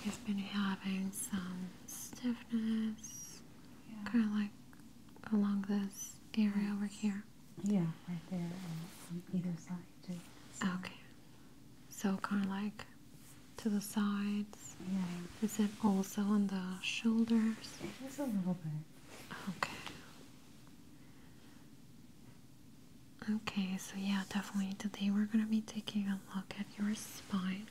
He's been having some stiffness, kind of like along this area yes. over here. Yeah, right there on either side too. Okay. So kind of like to the sides. Yeah. Is it also on the shoulders? It is a little bit. Okay. Okay, so yeah, definitely today we're going to be taking a look at your spine.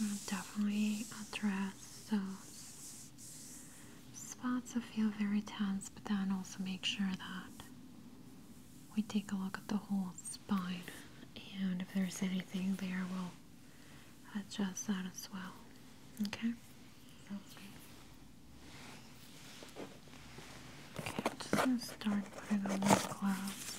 we definitely address those spots that feel very tense, but then also make sure that we take a look at the whole spine. And if there's anything there, we'll address that as well. Okay? Okay, I'm just gonna start putting on my gloves.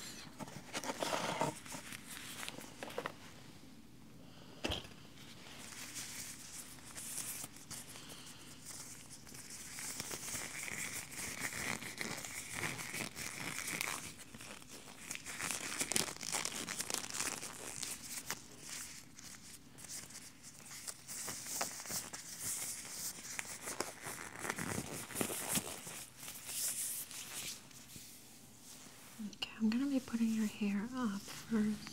Okay, I'm going to be putting your hair up first.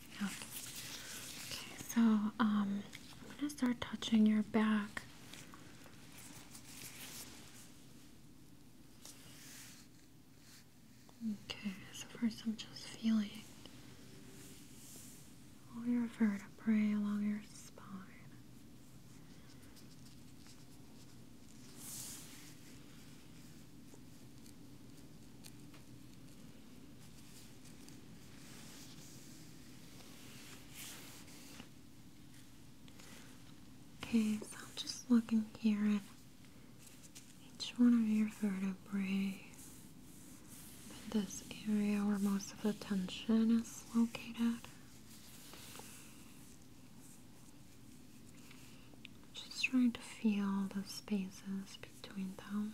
Yeah. Okay, so um, I'm gonna start touching your back. Okay, so first I'm just feeling all your vertebrae along your spine. Okay, so I'm just looking here at each one of your vertebrae in this area where most of the tension is located. Just trying to feel the spaces between them.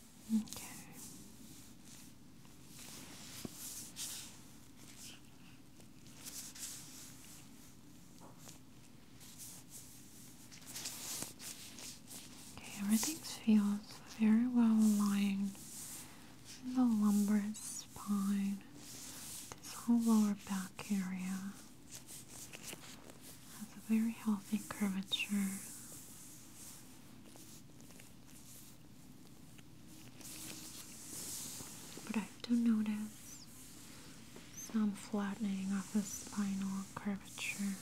Okay. Okay, everything feels very well aligned the lumbar spine, this whole lower back area has a very healthy curvature. But I do notice some flattening of the spinal curvature,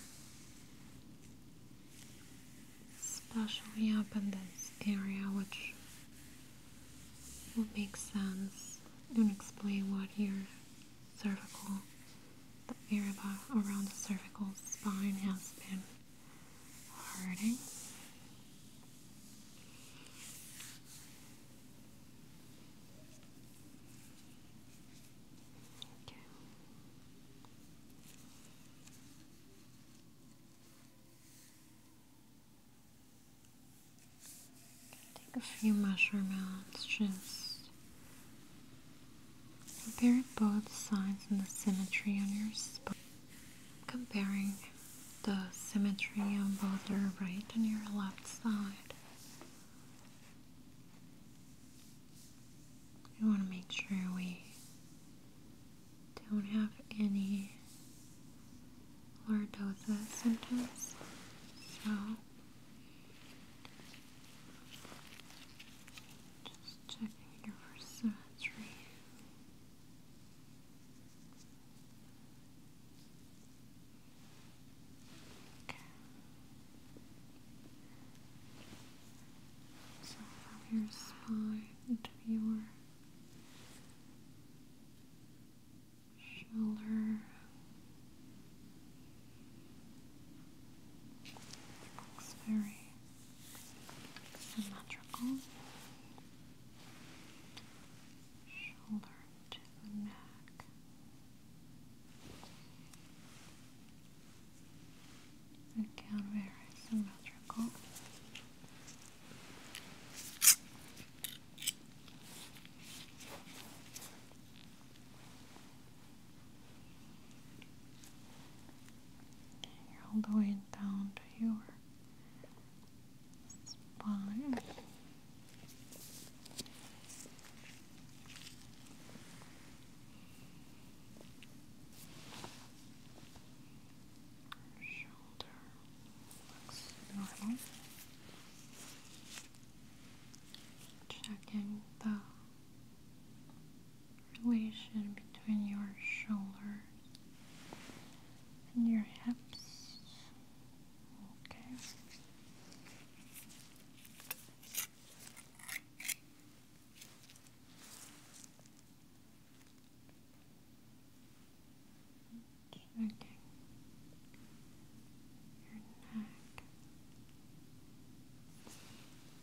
especially up in this area, which will make sense and explain what your cervical, the area around the cervical spine has been Alrighty. Take a few measurements just Compare both sides and the symmetry on your spine. Comparing the symmetry on both your right and your left side. We want to make sure we don't have any lordosis symptoms. So just checking here symmetry. Okay. So from your spine to your shoulder. Looks very symmetrical shoulder to neck. Again, very symmetrical. Okay, all the way down to your spine. Shoulder looks normal. Checking the relation between your shoulders and your hips. Okay. Checking your neck.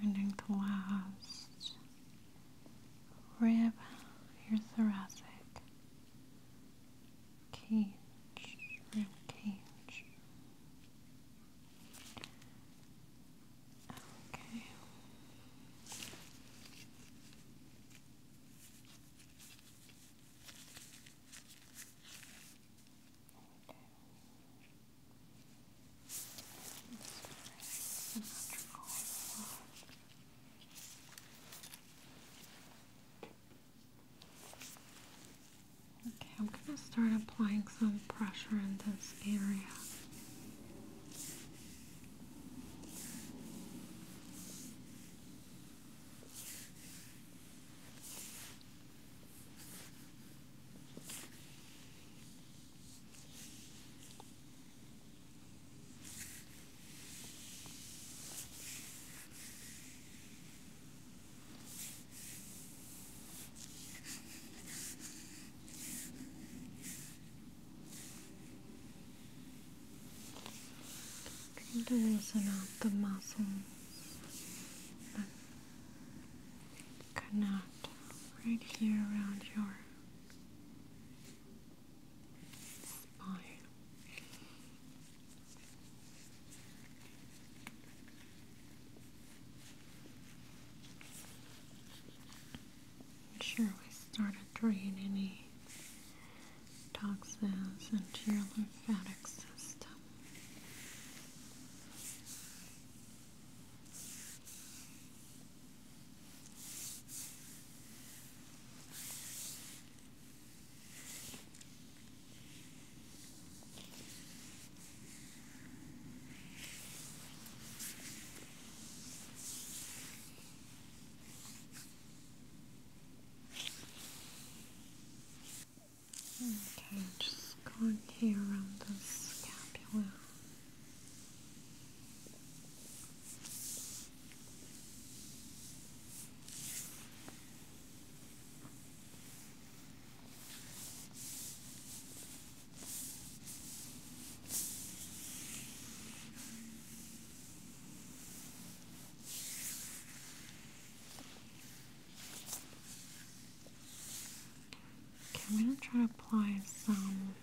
the clouds, rib, your thoracic, cage, rib cage. Okay. Okay, I'm going to start applying some pressure in this area. Trying to loosen out the muscles that connect right here around your sure we started draining any toxins into your lymphatic system. Okay, I'm just going here around the scapula. Okay, I'm going to try to apply some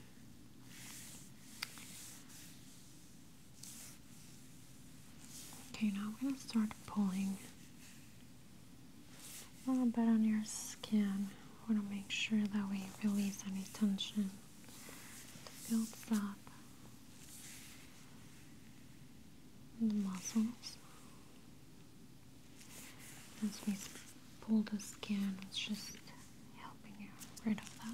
Okay, now I'm going to start pulling a little bit on your skin. I want to make sure that we release any tension that up in the muscles. As we pull the skin, it's just helping you rid of that.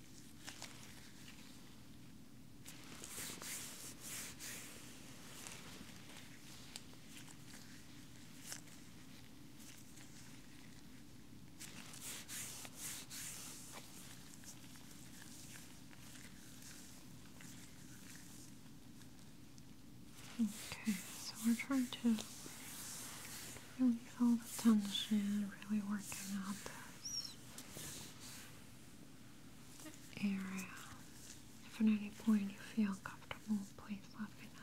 Okay, so we're trying to release all the tension, really working out this area. If at any point you feel comfortable, please let me know.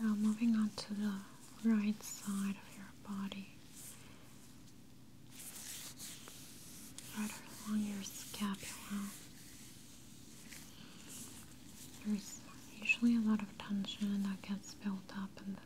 Now uh, moving on to the right side of your body, right along your scapula. There's usually a lot of tension that gets built up in the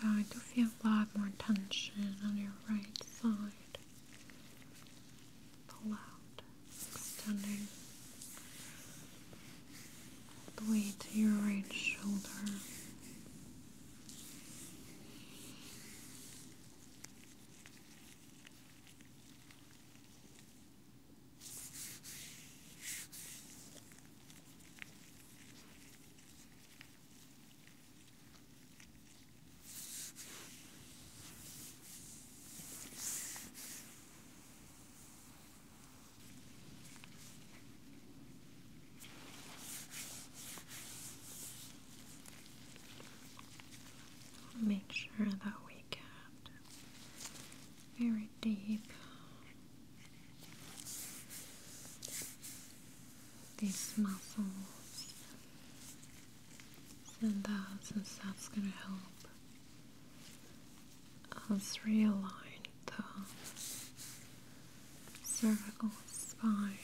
So I do feel a lot more tension on your right side pull out, extending the way to your right shoulder. Make sure that we get very deep. These muscles and that, since that's gonna help us realign the cervical spine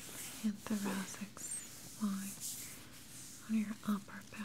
and thoracic spine on your upper back.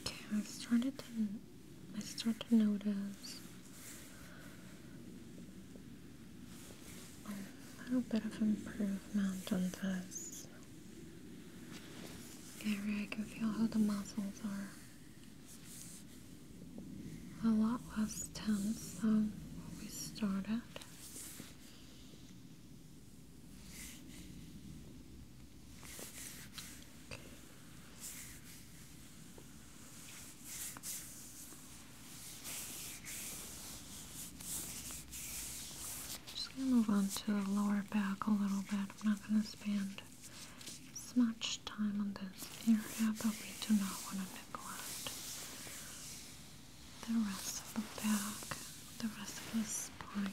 Okay, I started to I start to notice a little bit of improvement on this area. I can feel how the muscles are a lot less tense than what we started. Okay. Just gonna move on to the lower back a little bit. I'm not gonna spend as much time on this area, but we do not want to neglect the rest of the back, the rest of the spine.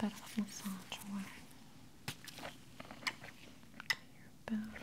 Bit of massage away your back.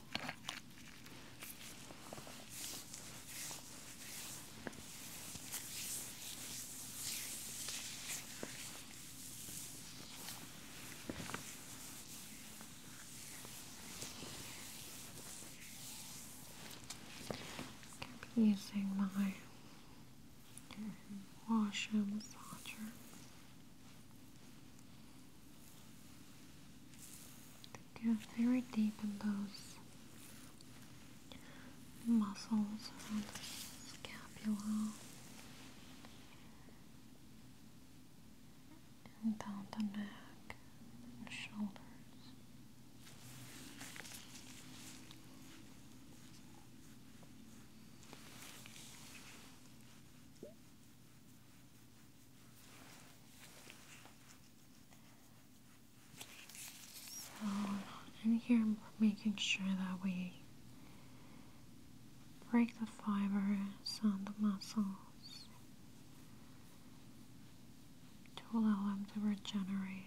Using my washer massager they very deep in those muscles around the scapula and down the neck and shoulders. So in here I'm making sure that we break the fibers on the muscles to allow them to regenerate.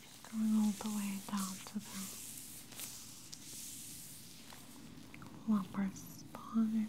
Just going all the way down to the lumbar spine.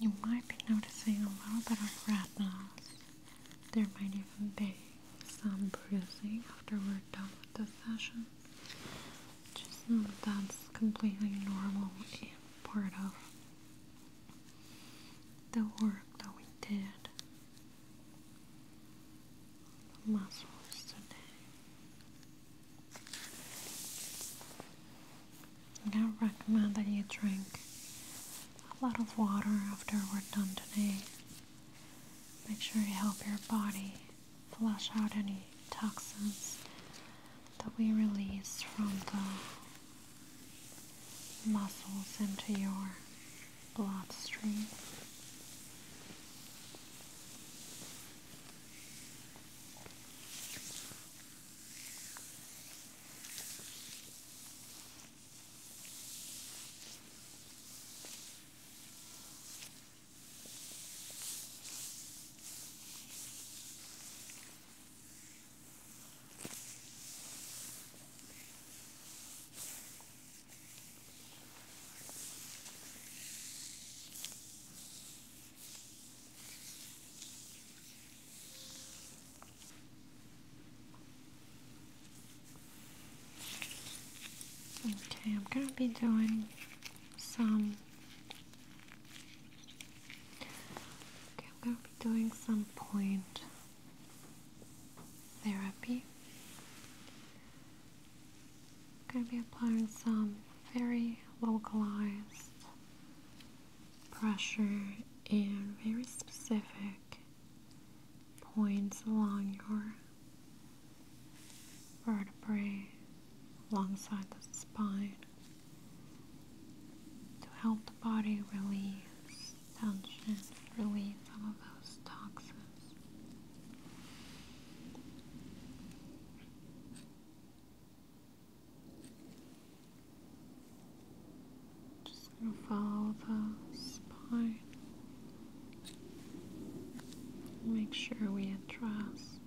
You might be noticing a little bit of redness. There might even be some bruising after we're done with the session. Just know that that's completely normal and part of the work that we did muscles today. I recommend that you drink a lot of water after we're done today. Make sure you help your body flush out any toxins that we release from the muscles into your bloodstream. Okay, I'm going to be doing some Okay, I'm going to be doing some point therapy. I'm going to be applying some very localized pressure in very specific points along your vertebrae alongside the spine to help the body release tension, release some of those toxins. Just follow the spine. Make sure we address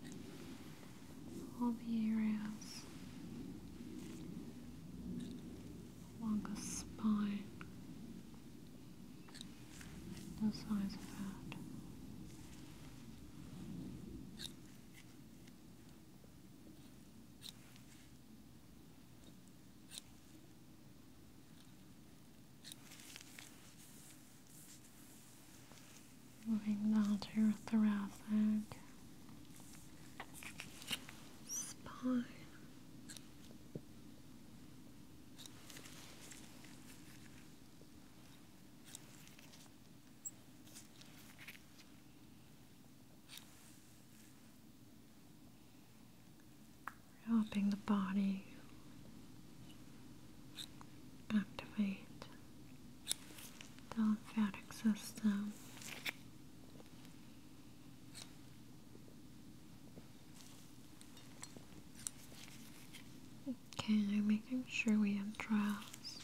all the areas along the spine, the size of that. Moving down to your thoracic spine. Helping the body activate lymphatic system. Okay, I'm making sure we have trials.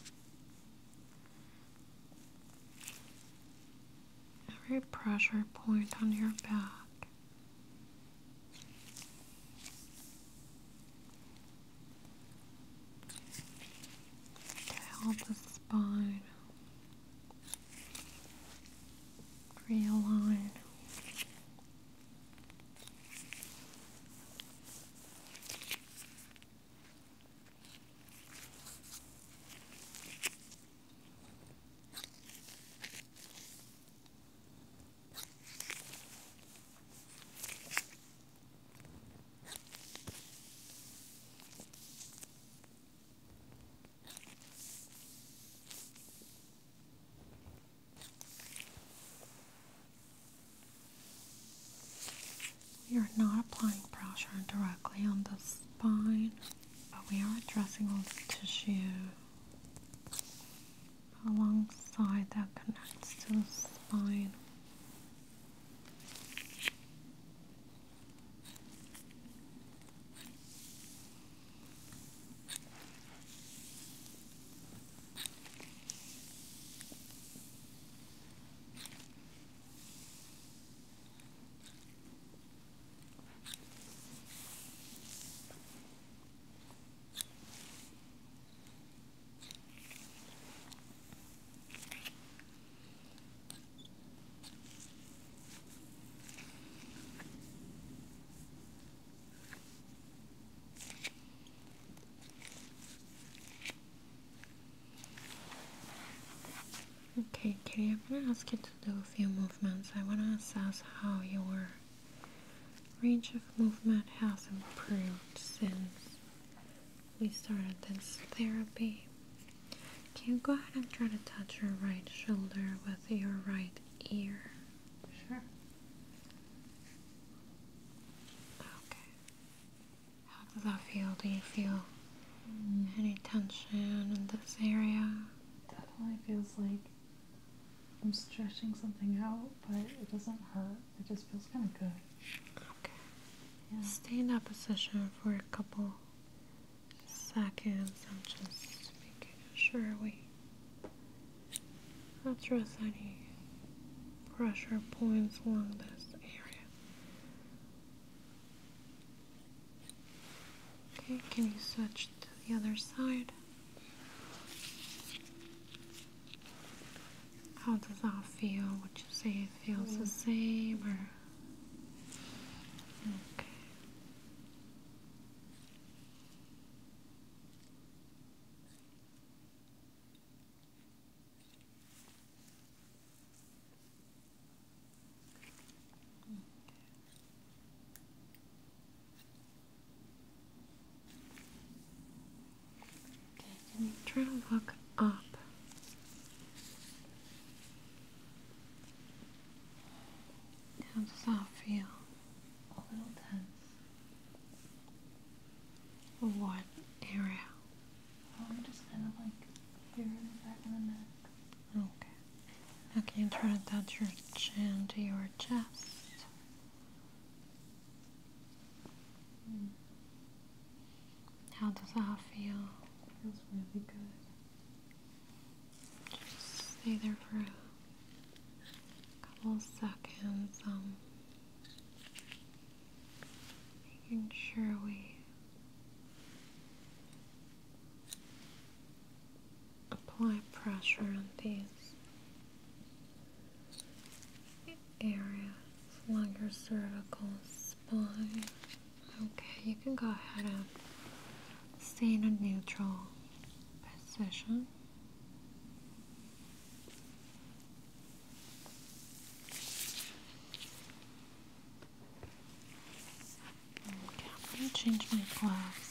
Every pressure point on your back Help the spine realign. We are not applying pressure directly on the spine, but we are addressing all the tissue alongside that connects to the spine. Okay, Kitty, I'm going to ask you to do a few movements. I want to assess how your range of movement has improved since we started this therapy. Can you go ahead and try to touch your right shoulder with your right ear? Sure. Okay. How does that feel? Do you feel mm. any tension in this area? Definitely feels like I'm stretching something out, but it doesn't hurt. It just feels kind of good. Okay. Yeah. Stay in that position for a couple seconds. I'm just making sure we not trust any pressure points along this area. Okay, can you switch to the other side? How does that feel? Would you say it feels the same or Okay. Okay, try to look up. How does that feel? A little tense. What area? Um, just kind of like here in the back of the neck. Okay. Now try to touch your chin to your chest? How does that feel? Feels really good. stay there for a couple seconds. Um, making sure we apply pressure on these area along your cervical spine. Okay, you can go ahead and stay in a neutral position. Okay, I'm going to change my gloves.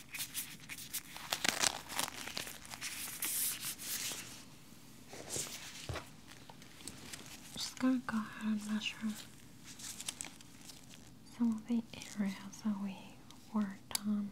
I'm just gonna go ahead and measure some of the areas that we worked on.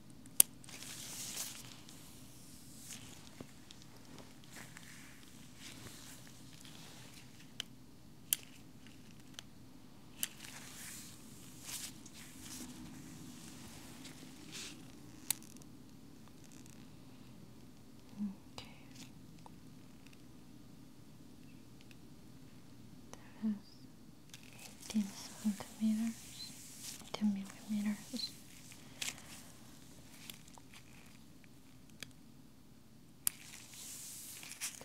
Okay. There is 18 centimeters, 10 millimeters.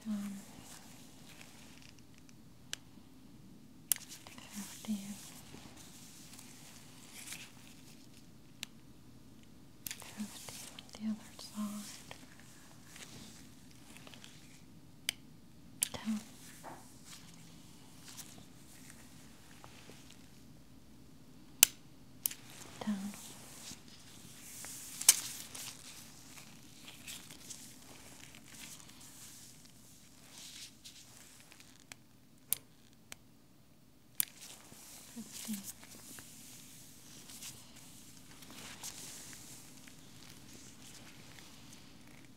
Um, on the other side towel. Down. Perfect.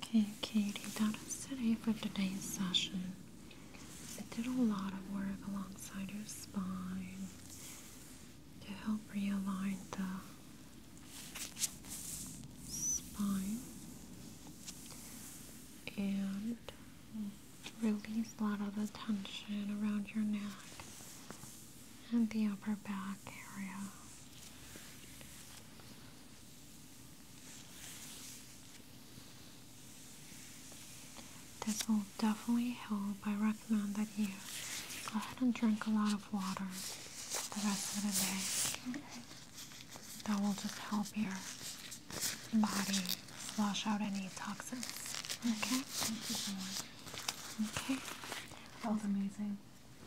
Okay, Katie, that is it for today's session. I did a lot of work alongside your spine to help realign the spine and release a lot of the tension around your neck and the upper back area. This will definitely help. I recommend that you go ahead and drink a lot of water the rest of the day. That will just help your body flush out any toxins. Okay? Thank you so much. Okay. That was amazing.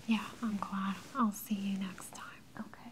Yeah, I'm glad. I'll see you next time. Okay.